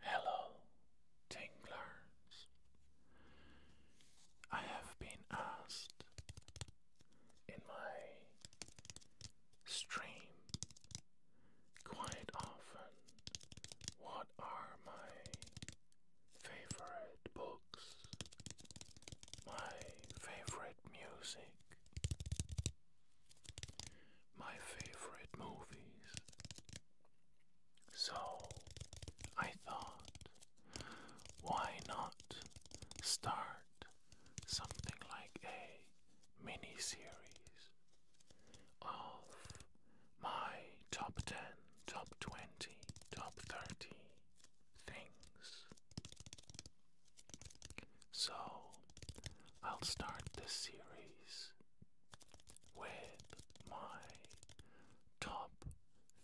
Hello, tinklers. I have been asked in my stream quite often what are my favorite books, my favorite music, my favorite movies. So I thought, why not start something like a mini series of my top 10, top 20, top 30 things? So I'll start this series with my top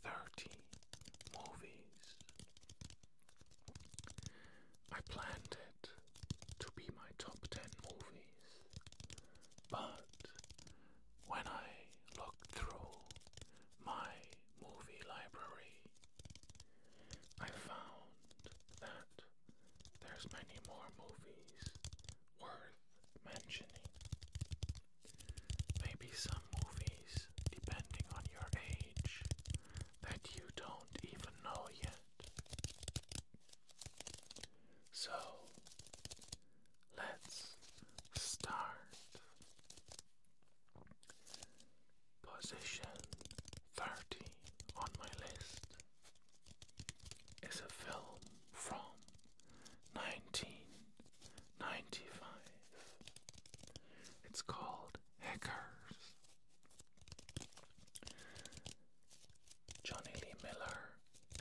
30 movies. I planned it to be my top 10 movies, but when I looked through my movie library, I found that there's many more movies worth mentioning. Maybe some movies, depending on your age, that you don't even know yet. So, let's start. Position 30 on my list is a film from 1995. It's called Hackers. Johnny Lee Miller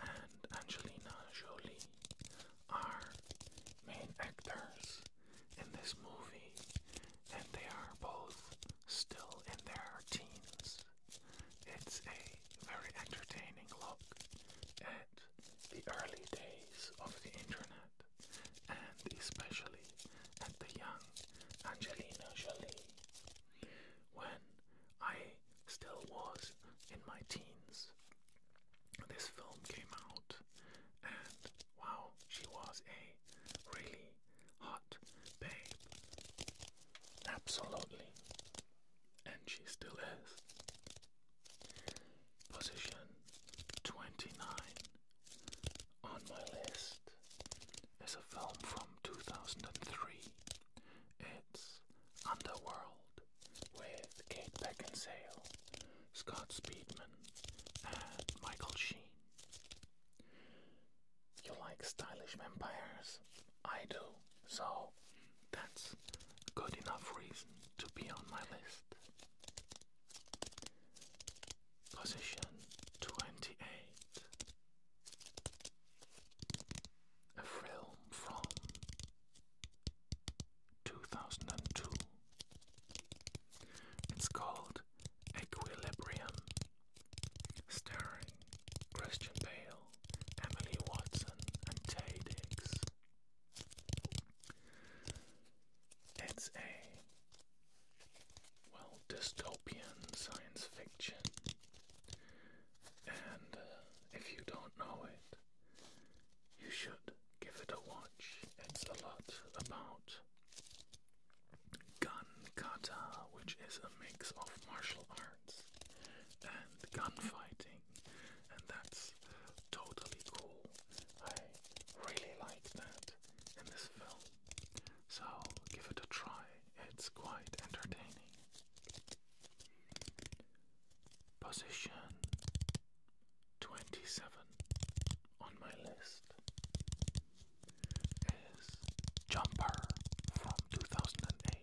and Angelina Jolie are main actors in this movie, and they are both still in their teens. It's a very entertaining look at the early days of the internet and especially at the young Angelina Jolie when I still was in my teens. This film came out and wow, she was a really hot babe. Absolutely. And she still is. Position 29 on my list is a film from 2003. It's Underworld with Kate Beckinsale, Scott Speedman, and Michael Sheen you like stylish vampires. I do. So that's good enough reason to be on my list. Position 28. A film from 2002. It's called Equilibrium starring Christian Bale, Emily Watson, and Tay Diggs. It's a well dystopian science fiction, and uh, if you don't know it, you should give it a watch. It's a lot about Gun kata, which is a mix of martial arts and gunfighting, and that's totally cool. I really like that in this film, so give it a try, it's quite entertaining. Position 27 on my list is Jumper from 2008.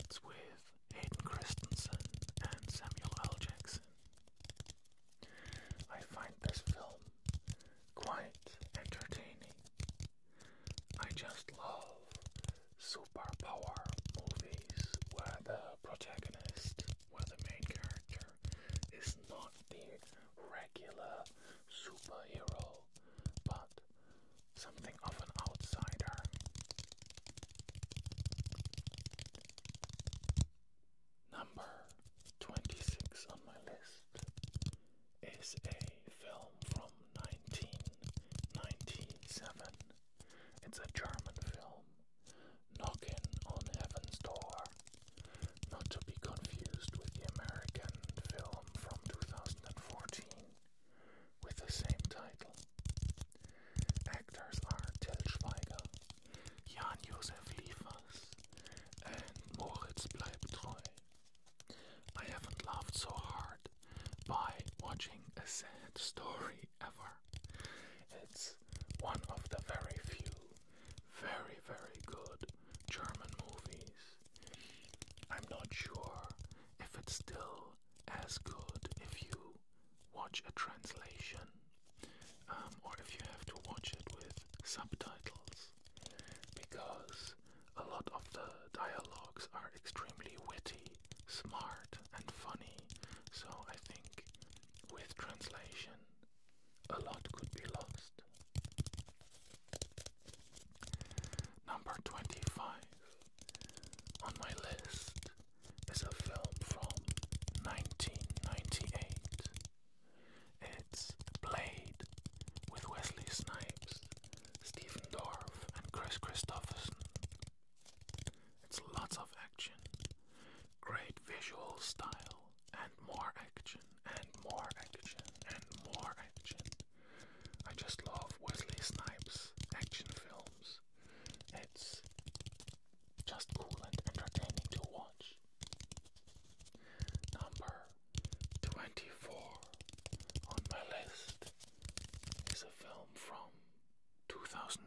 It's with Hayden Christensen and Samuel L. Jackson. I find this film quite entertaining. I just love superpower movies where the protagonist, where the main character, is not the regular superhero, but something of an outsider. Number 26 on my list is a film from 1997. It's a German film, Knocking on Heaven's Door, not to be confused with the American film from 2014 with the same title. Actors are Till Schweiger, Jan-Josef and Moritz Bleibt I haven't laughed so hard by watching a sad story ever. It's one of the very few, very, very good German movies I'm not sure if it's still as good if you watch a translation um, or if you have to watch it with subtitles because a lot of the dialogues are extremely witty, smart, and funny. So I think with translation, a lot could be lost. Number 25 on my list is a film from 1998. It's Blade with Wesley Snipes, Stephen Dorff, and Chris Christopherson. It's lots of action, great visual style, and more action, and more action, and more action. I just love Wesley Snipes action films. It's just cool and entertaining to watch. Number 24 on my list is a film from 2009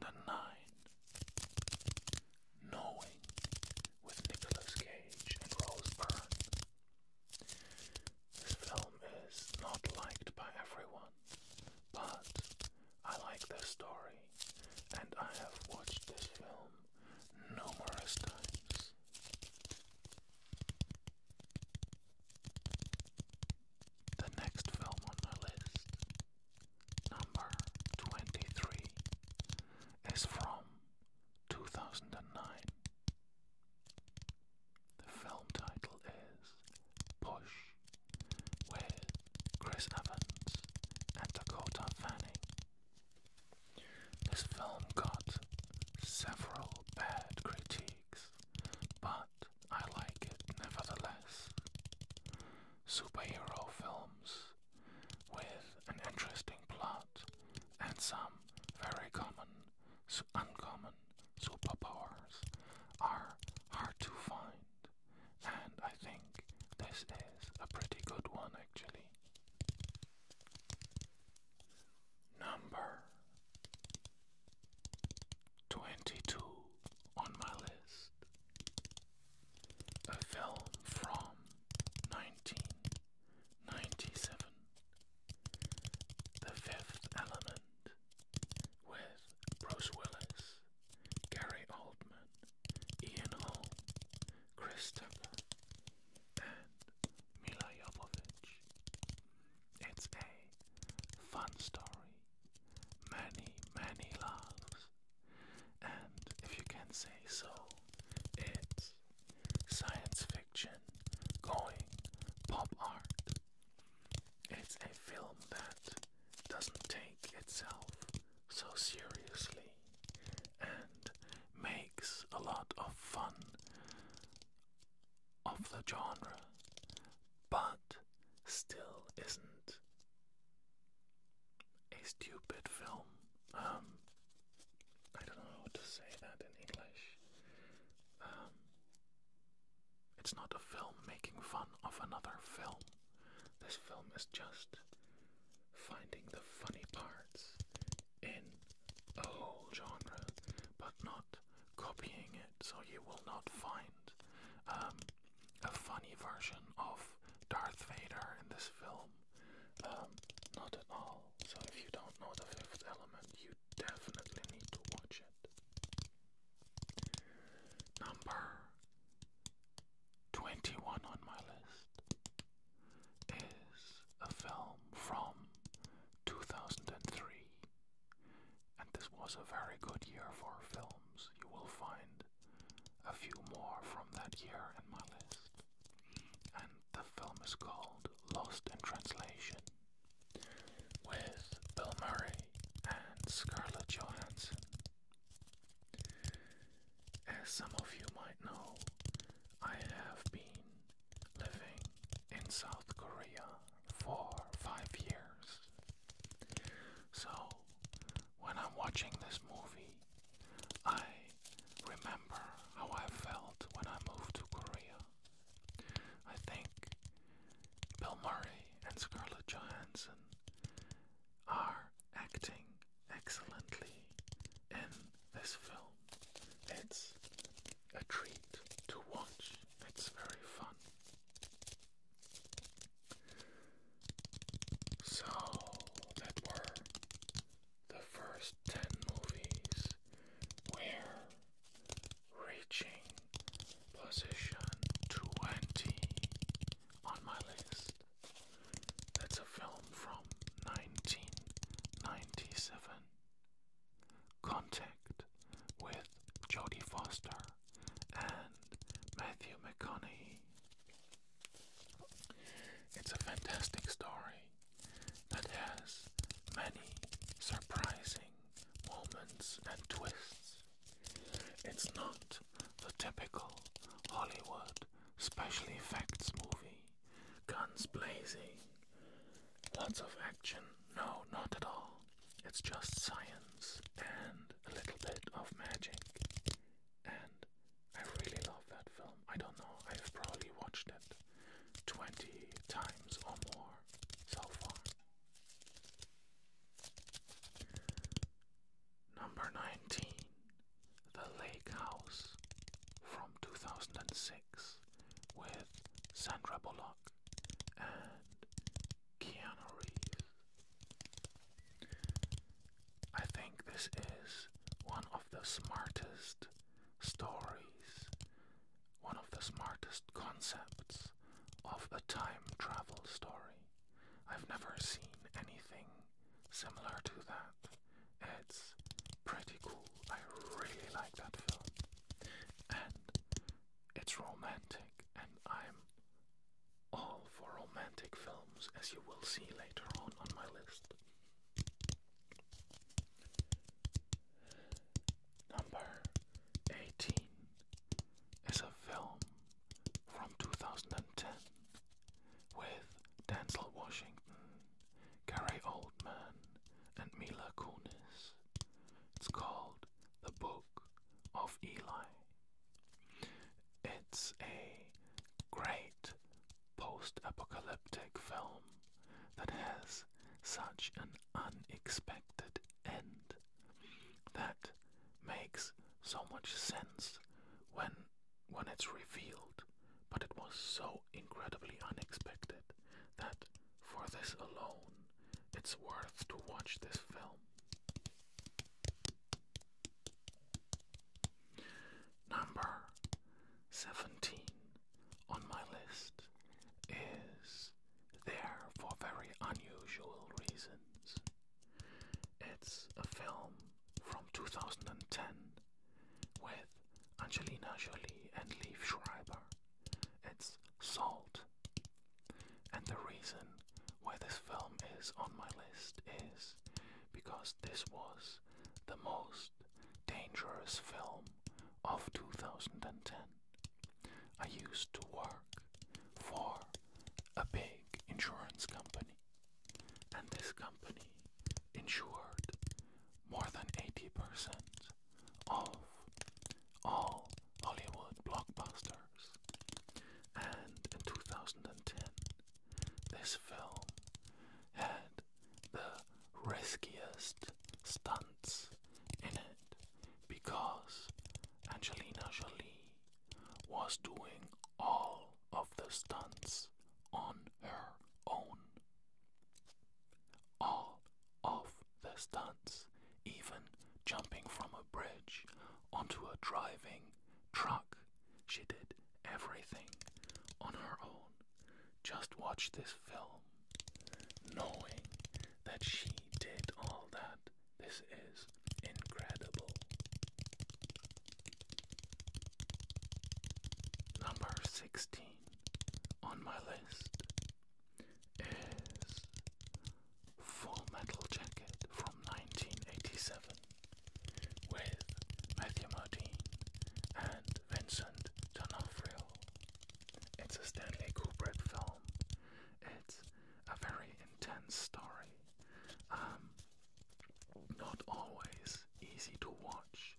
Knowing with Nicolas Cage and Rose Byrne. This film is not liked by everyone, but I like the story, and I have watched this film numerous times. The next film on my list, number 23, is from 2009 the film title is Push with Chris Evans and Dakota Fanning. This film got several bad critiques, but I like it nevertheless. Superhero films with an interesting plot and some very common so uncommon superpowers are hard to find, and I think this is a pretty good one actually. Number 22 on my list. A film from 1997 the Fifth Element with Bruce Willis, Gary Oldman, Ian Holm, Chris and Mila Jovovich. It's a fun story, many, many laughs, and if you can say so, it's science fiction, going, pop art. It's a film that doesn't take itself so seriously and makes a lot of fun of the genre, but still isn't a stupid film. Um, I don't know how to say that in English. Um, it's not a film making fun of another film. This film is just finding the funny parts in a whole genre, but not copying it. So you will not find um, a funny version of Darth Vader in this film. Um, not at all. So if you don't know the fifth element, you definitely need to watch it. Number 21 on my list is a film from 2003, and this was a very good year for films. You will find a few more from that year in my list. And the film is called Lost in Translation with Bill Murray and Scarlett Johansson. As some of you might know, I have been living in South Korea for five years. So, when I'm watching this movie, I remember how I felt when I moved to Korea. I think Bill Murray and Scarlett Johansson are acting excellently in this film. It's a treat to watch, it's very fun. So, that were the first 10 movies where reaching position 20 on my list. That's a film from 1997. Contact with Jodie Foster and Matthew McConaughey. It's a fantastic story that has many surprising moments and twists. It's not the typical Hollywood special effects movie, guns blazing, lots of action. No, not at all. It's just science and a little bit of magic. And I really love that film. I don't know, I've probably watched it 20 times or more so far. Number 19. The Lake House from 2006 with Sandra Bullock and Keanu Reeves. I think this is one of the smartest stories one of the smartest concepts of a time travel story. I've never seen anything similar to that. It's pretty cool. I really like that film. And it's romantic, and I'm all for romantic films, as you will see later on on my list. Number 18 is a film from 2010 with Denzel Washington, Gary Oldman, and Mila Kunis. It's called The Book of Eli. It's a great post apocalyptic film that has such an unexpected end. That makes so much sense when when it's revealed, but it was so incredibly unexpected that for this alone it's worth to watch this film. Number 17 on my list is There for Very Unusual Reasons. It's a film from 2010 with Angelina Jolie and Liev Schreiber. It's Salt. And the reason why this film is on my list is because this was the most dangerous film of 2010. I used to work for a big insurance company, and this company insured more than 80% of all Hollywood blockbusters. And in 2010, this film had the riskiest stunts in it because Angelina Jolie was doing all of the stunts on her own. All of the stunts, even jumping from a bridge onto a driving truck, she did everything on her own just watch this film knowing that she did all that. This is incredible. Number 16 on my list is Full Metal Jacket from 1987 with Matthew Modine and Vincent D'Onofrio. It's a Stanley Kubrick film. It's a very intense story. Um, not always easy to watch,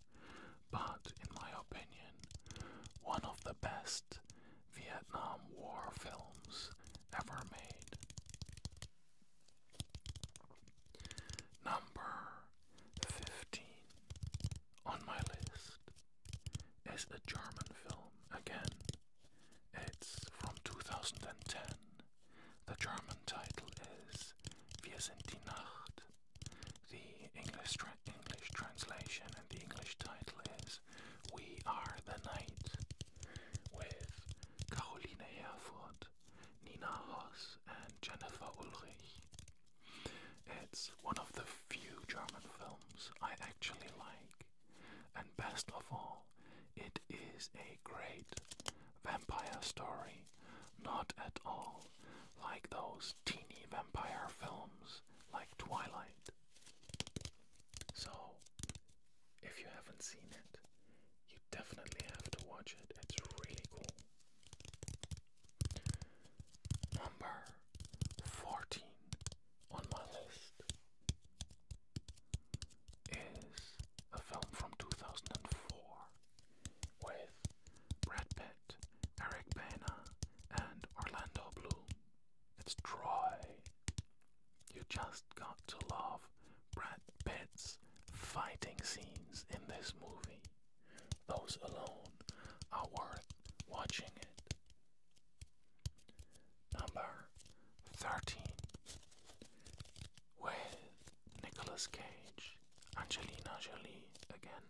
but in my opinion, one of the best Vietnam War films ever made. Number 15 on my list is a German film again. It's from 2010. The German title is Wir sind die Nacht. The English, translation and the English title is We Are the Night with Caroline Herford, Nina Hoss, and Jennifer Ulrich. It's one of the few German films I actually like, and best of all, it is a great vampire story, not at all like those teeny vampire films like Twilight. So, if you haven't seen it, you definitely have to watch it. It's really cool. Number 14 on my list is a film from 2004 with Brad Pitt, Eric Bana, and Orlando Bloom. It's Troy. You just got to love Brad Pitt's fighting scenes in this movie. Those alone are worth watching it. Number 13 with Nicolas Cage, Angelina Jolie again,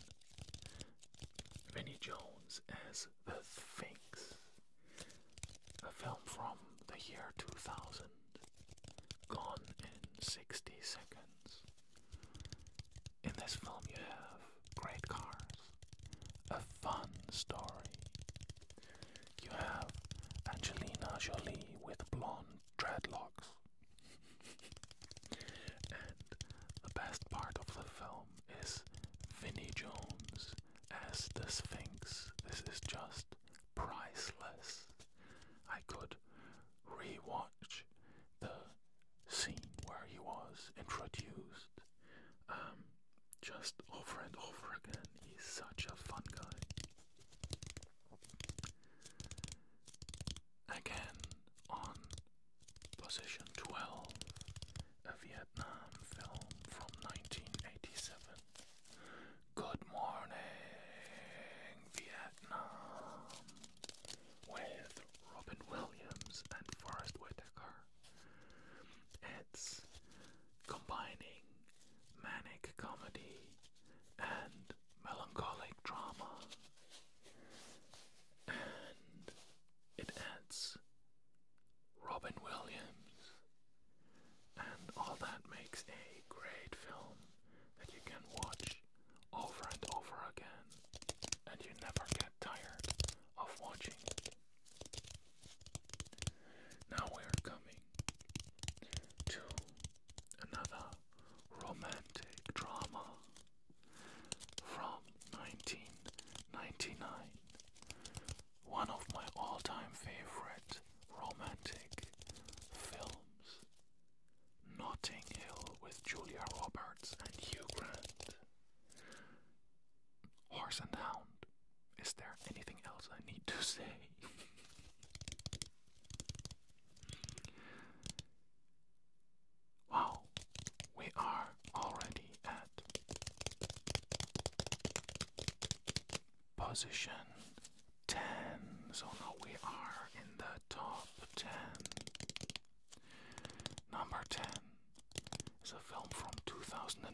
Vinnie Jones as The Sphinx, a film from the year 2000, gone in 60 seconds. In this film, you have great cars, a fun story. You have Angelina Jolie with blonde dreadlocks. and the best part of the film is Vinny Jones as the Sphinx. This is just priceless. I could rewatch the scene where he was introduced um, just over and over again. He's such a fun guy. Again, on position 12, a Vietnam film from 1987. Good morning, Vietnam, with Robin Williams and Forest Whitaker. It's combining manic comedy and melancholic drama, and it adds Robin Williams, and all that makes a great film that you can watch over and over again and you never get tired of watching. Now we are coming to another romantic drama from 1999. One of my all time favorite romantic films Notting Hill with Julia Roberts and Hugh Grant. Horse and Hound. Is there anything else I need to say? wow, we are already at position 10. So now we are in the top 10. Number 10 is a film from 2008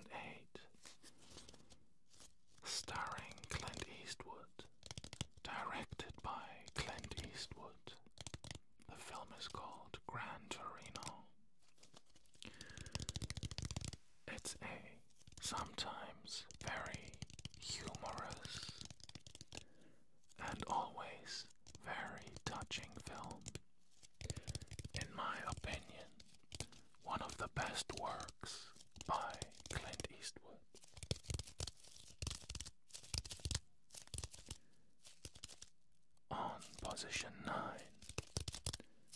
starring Clint Eastwood, directed by Clint Eastwood. The film is called Grand Torino. It's a sometimes very humorous and always very touching film. In my opinion, one of the best works by Clint Eastwood. On position 9,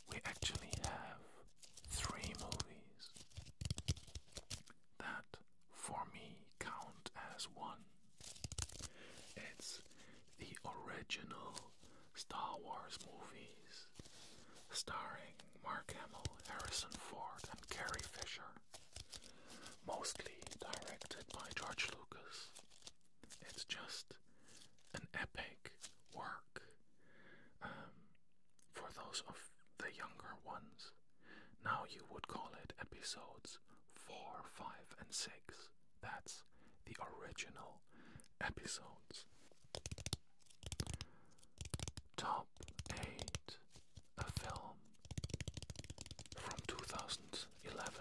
we actually have three movies that for me count as one. It's the original Star Wars movies starring Mark Hamill, Harrison Ford, and Carrie Fisher, mostly directed by George Lucas. It's just an epic work um, for those of the younger ones. Now you would call it episodes 4, 5, and 6. That's the original episodes. Top 8 A film from 2011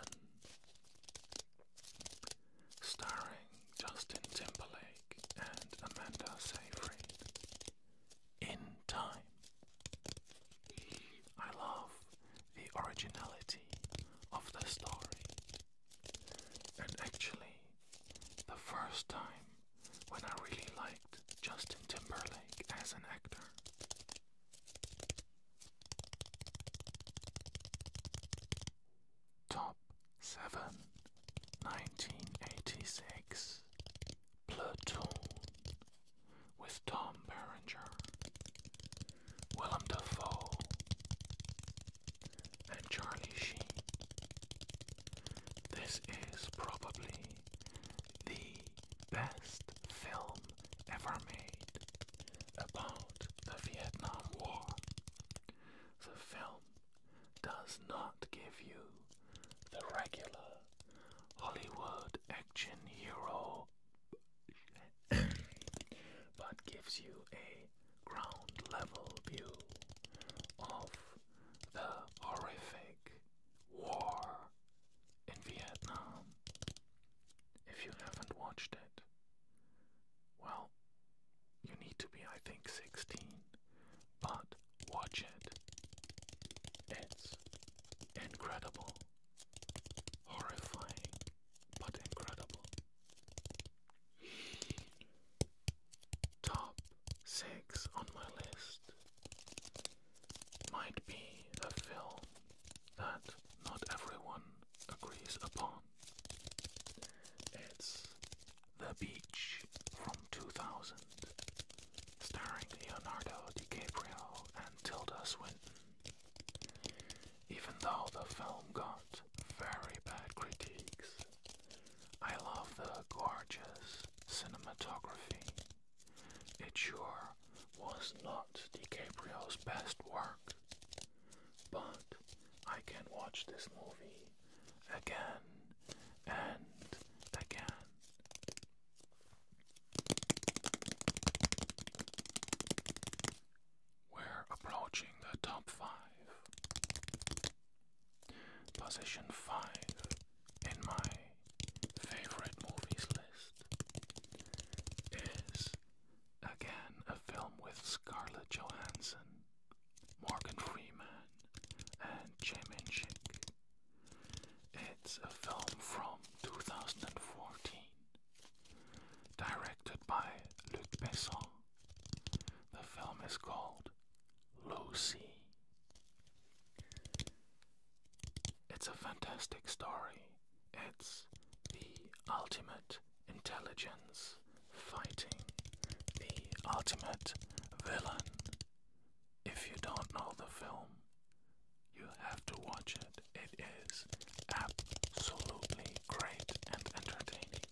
starring Justin Timberlake and Amanda Seyfried. In Time. I love the originality of the story. And actually, the first time when I really liked Justin Timberlake as an actor. Top 7 Platoon with Tom Berenger Willem Dafoe, and Charlie Sheen. This is probably the best film ever made about the Vietnam War. The film does not give you the regular Hollywood action hero but gives you a ground level view of the horrific war in Vietnam. If you haven't watched it, well, you need to be, I think, 16, but watch it. It's incredible, horrifying, but incredible. Top six on my list might be a film that not everyone agrees upon. It's The Beach from 2000, starring Leonardo DiCaprio and Tilda Swinton. Even though the film got very bad critiques, I love the gorgeous cinematography. It sure was not DiCaprio's best work, but I can watch this movie again and again. We're approaching the top five. Position five in my favorite movies list is again a film with Scarlett Johansson, Morgan Freeman, and Jamin It's a film from 2014 Directed by Luc Besson, the film is called Lucy. It's a fantastic story. It's the ultimate intelligence fighting the ultimate villain. If you don't know the film, you have to watch it it is absolutely great and entertaining.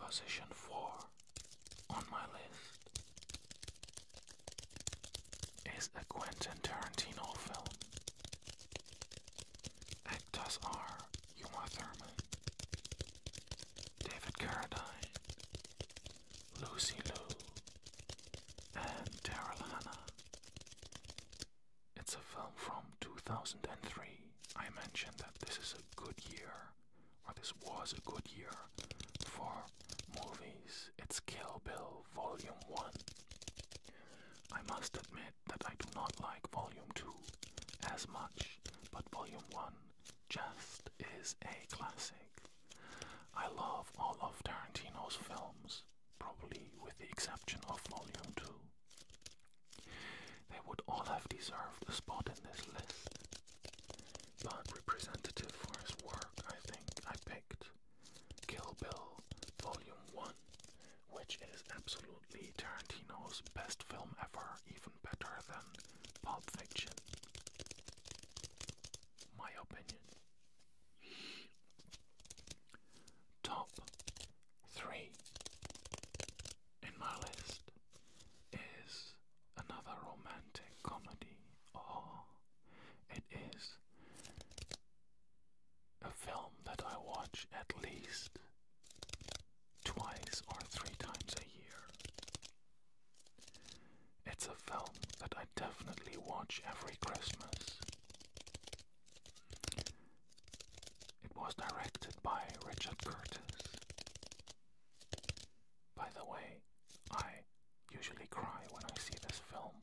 Position 4 on my list is a Quentin Tarantino film. Actors are Uma Thurman, David Carradine, Lucy Lou, and Daryl Hannah. It's a film from 2003. I mentioned that this is a good year, or this was a good year, for movies. It's Kill Bill Volume 1. I must admit that I do not like Volume 2 as much, but Volume 1 just is a classic. I love all of Tarantino's films, probably with the exception of Volume 2. They would all have deserved a spot in this list, but representative for his work, I think I picked Kill Bill Volume 1, which is absolutely Tarantino's best film ever, even better than Pulp Fiction my opinion. Top three in my list is another romantic comedy, or oh, it is a film that I watch at least twice or three times a year. It's a film that I definitely watch every Christmas. It was directed by Richard Curtis. By the way, I usually cry when I see this film.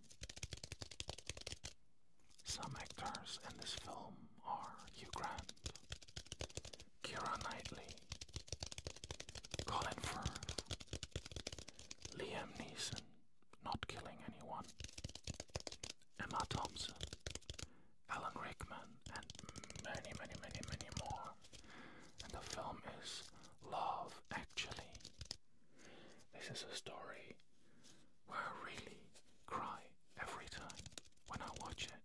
Some actors in this film are Hugh Grant, Kira Knightley, Colin Firth, Liam Neeson, not killing anyone, Emma Thompson, Alan Rickman, and many, many, many, many more. And the film is Love Actually. This is a story where I really cry every time when I watch it.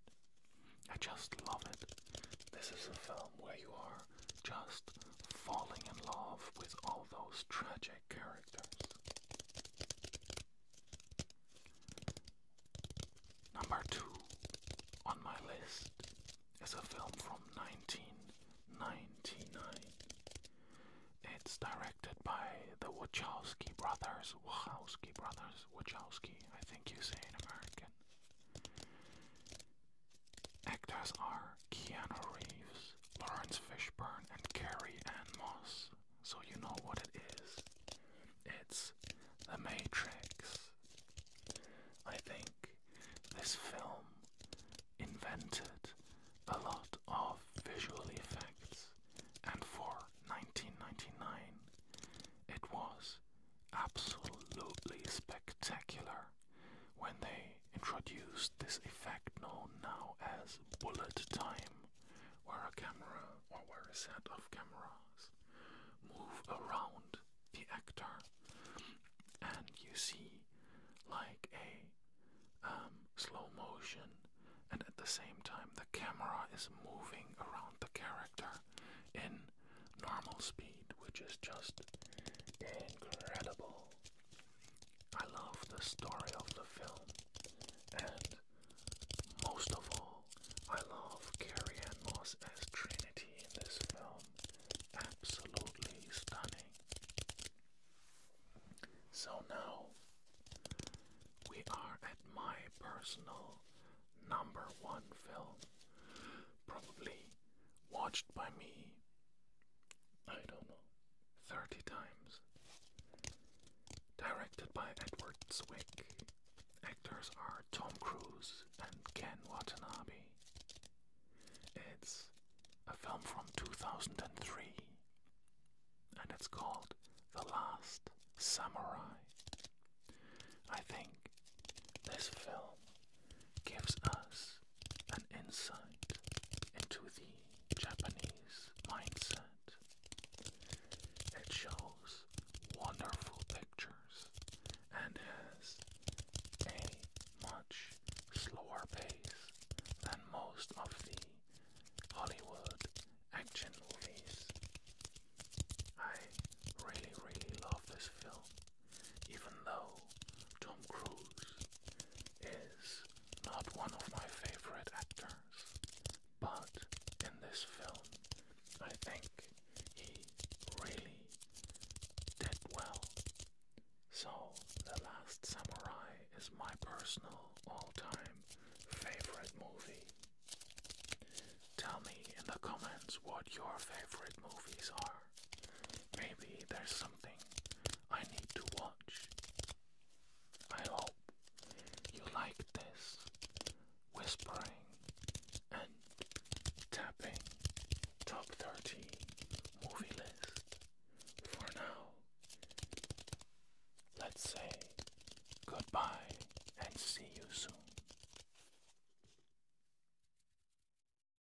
I just love it. This is a film where you are just falling in love with all those tragic characters. Number two on my list is a film from 1999. It's directed by the Wachowski brothers, Wachowski brothers, Wachowski, I think you say in American. Actors are Keanu Reeves, Lawrence Fishburne, and Carrie Ann Moss. So you know what it is. It's The Matrix. I think this film invented a lot of visual effects, and for 1999, it was absolutely spectacular when they introduced this effect known now as bullet time, where a camera or where a set of cameras move around the actor and you see like a um, slow motion and at the same time the camera is moving around the character in normal speed which is just incredible. I love the story of the film, and most of all, I love Carrie Ann Moss as Trinity in this film. Absolutely stunning. So now we are at my personal number one film, probably watched by me I don't know, 30 times. Directed by Edward Zwick. Actors are Tom Cruise and Ken Watanabe. It's a film from 2003 and it's called The Last Samurai. I think this film gives us an insight into the Japanese mindset. It shows wonderful pictures and has a much slower pace than most of the Hollywood action movies. I really, really love this film even though Tom Cruise is not one of my favorite actors. But in this film, I think he really did well. So, The Last Samurai is my personal all time favorite movie. Tell me in the comments what your favorite movies are. Maybe there's something I need to watch. I hope you like this whispering and tapping top 30 movie list. For now, let's say goodbye and see you soon.